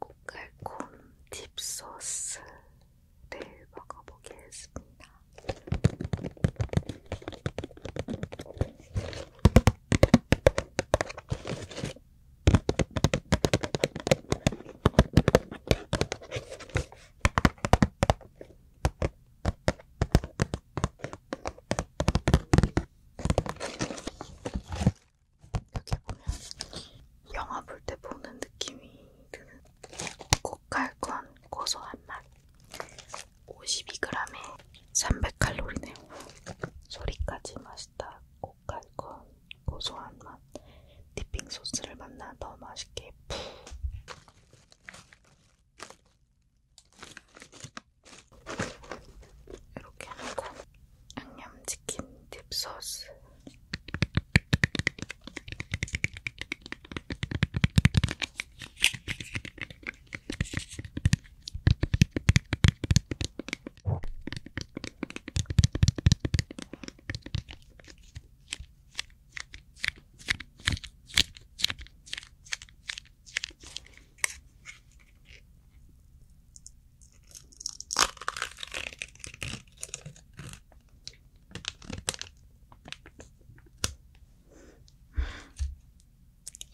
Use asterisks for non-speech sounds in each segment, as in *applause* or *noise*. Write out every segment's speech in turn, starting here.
꽃갈콘 딥소스를 네, 먹어보겠습니다. 여기 보면 영화 볼 때 보는 느낌이 드는 꽃갈건 고소한 맛 52g에 300칼로리네요. 소리까지 맛있다. 꽃갈건 고소한 맛 디핑 소스를 만나 더 맛있게 푹 이렇게 해놓고 양념치킨 딥소스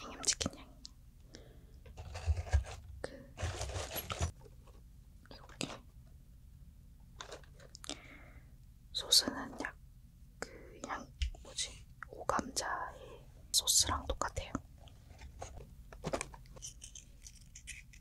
양념치킨 향이 그 이렇게 소스는 약그양 뭐지 오감자의 소스랑 똑같아요.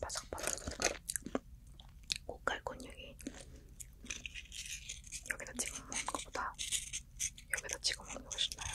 바삭바삭 고칼 근육이 여기다 찍어 먹는 것보다 여기다 찍어 먹는 게 훨씬 나아요.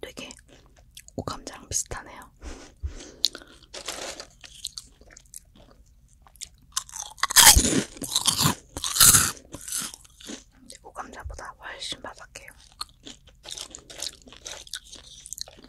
되게 오감자랑 비슷하네요. 오감자보다 훨씬 바삭해요.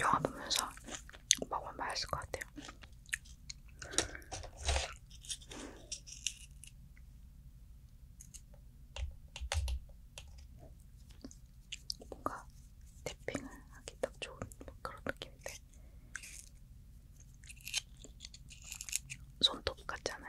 영화 보면서 먹으면 맛있을 것 같아요. 뭔가 탭핑을 하기 딱 좋은 그런 느낌인데 손톱 같잖아요.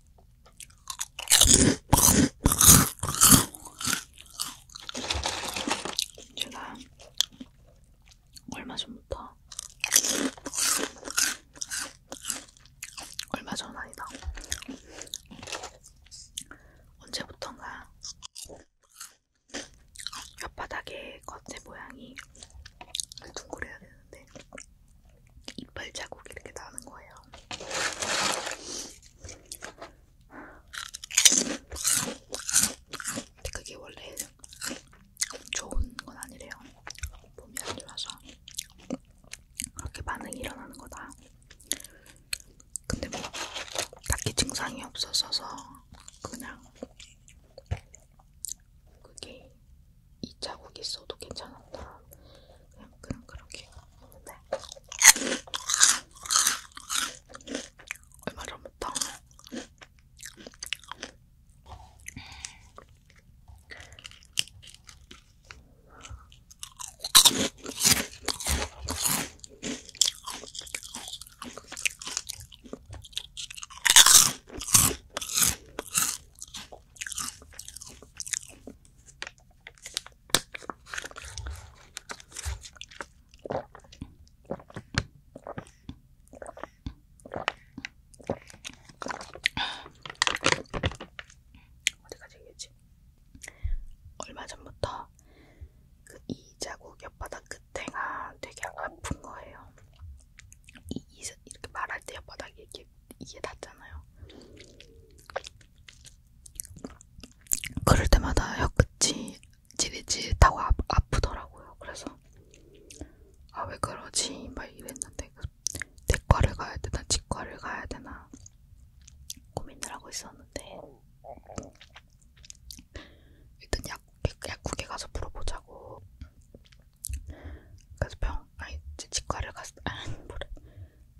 제가 얼마 전부터 얼마 전 아니다. 언제부턴가 혓바닥의 겉의 모양이 둥그래야 되는데 이빨 자국이 이렇게 나는 거예요. 근데 그게 원래 좋은 건 아니래요. 몸이 안 좋아서 그렇게 반응이 일어나는 거다. 근데 뭐 딱히 증상이 없었어서 그냥 그게 이 자국 있어도 괜찮았다. 그냥, 그냥 그렇게 했는데 얼마 전부터 어디까지 얘기했지? 얼마 전부터 그 이 자국 옆바닥 끝에가 되게 아픈 거예요. 이, 이, 이렇게 말할 때 옆바닥이 이렇게 이게 낫잖아요. 그럴 때마다 혀끝이 찌릿찌릿하고 아, 아프더라고요. 그래서 아 왜 그러지? 막 이랬는데 그 내과를 가야 되나 치과를 가야 되나 고민을 하고 있었는데 일단 약, 약국에 가서 물어보자고 그래서 병, 아니 치과를 갔, 아, 아니 뭐래,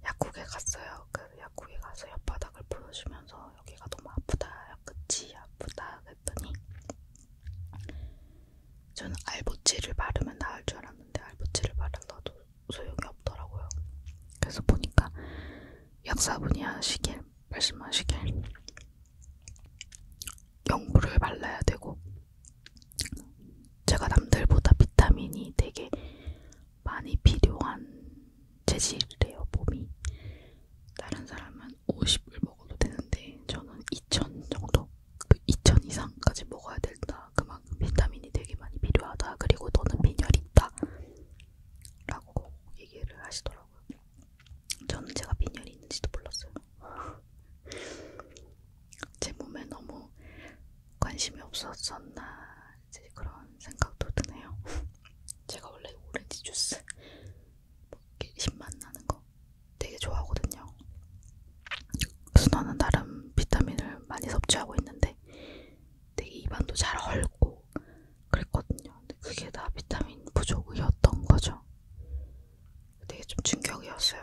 약국에 갔어요. 그 약국에 가서 옆바닥을 보여주면서 여기가 너무 아프다, 끝이 아프다 그랬더니 저는 알보치를 바르면 나을 줄 알았는데 알보치를 바르다도 소용이 없더라고요. 그래서 보니까 약사분이 하시길 말씀하시길 연구를 발라야 되고 제가 남들보다 비타민이 되게 많이 필요한 재질이래요 몸이 다른 사람은 50을 먹어도 되는데 저는 2000 정도 2000 그 이상까지 먹어야 된다 그만큼 비타민이 되게 많이 필요하다 그리고 너는 빈혈이 있다 라고 얘기를 하시더라고요 저는 제가 빈혈이 있는지도 몰랐어요 제 몸에 너무 관심이 없었었나 이제 그런 생각도 드네요. 제가 원래 오렌지 주스 뭐 신맛 나는 거 되게 좋아하거든요. 그래서 나는 나름 비타민을 많이 섭취하고 있는데 되게 입안도 잘 헐고 그랬거든요. 근데 그게 다 비타민 부족이었던 거죠. 되게 좀 충격이었어요.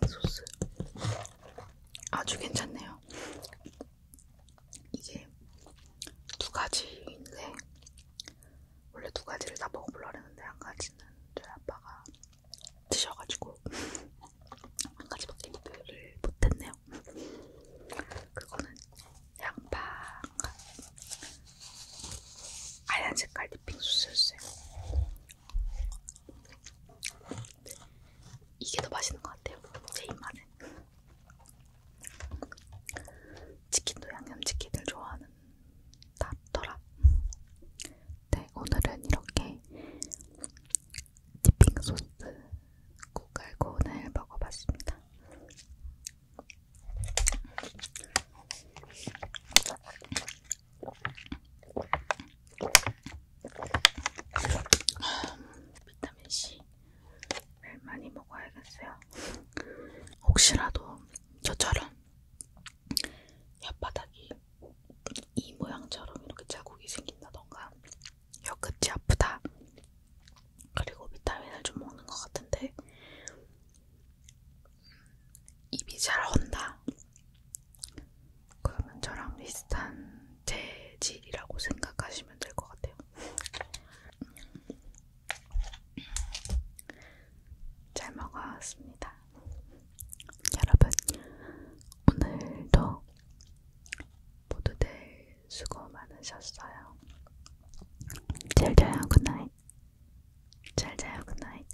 믹소스 아주 괜찮네요. 이게 두 가지인데 원래 두 가지를 다 먹어보려 했는데 한 가지는 저희 아빠가 드셔가지고 *laughs* 한 가지밖에 리뷰를 못했네요. 그거는 양파가 하얀 색깔 디핑 소스였어요. 이게 더 맛있는 것 같아요. 제 입맛에. 치킨도 양념치킨을 좋아하는 낫더라. 네, 오늘은 이렇게 디핑 소스 고갈콘을 먹어봤습니다. 비타민 C 많이 먹어야겠어요. 혹시라도 저처럼 혓바닥이 이 모양처럼 이렇게 자국이 생긴다던가 혀끝이 아프다. 그리고 비타민을 좀 먹는 것 같은데 입이 잘 헌다. 그러면 저랑 비슷한 재질이라고 생각하시면 될 것 같아요. 잘 먹었습니다. 여러분, 오늘도 모두들 수고 많으셨어요. 잘 자요, 굿나잇. 잘 자요, 굿나잇.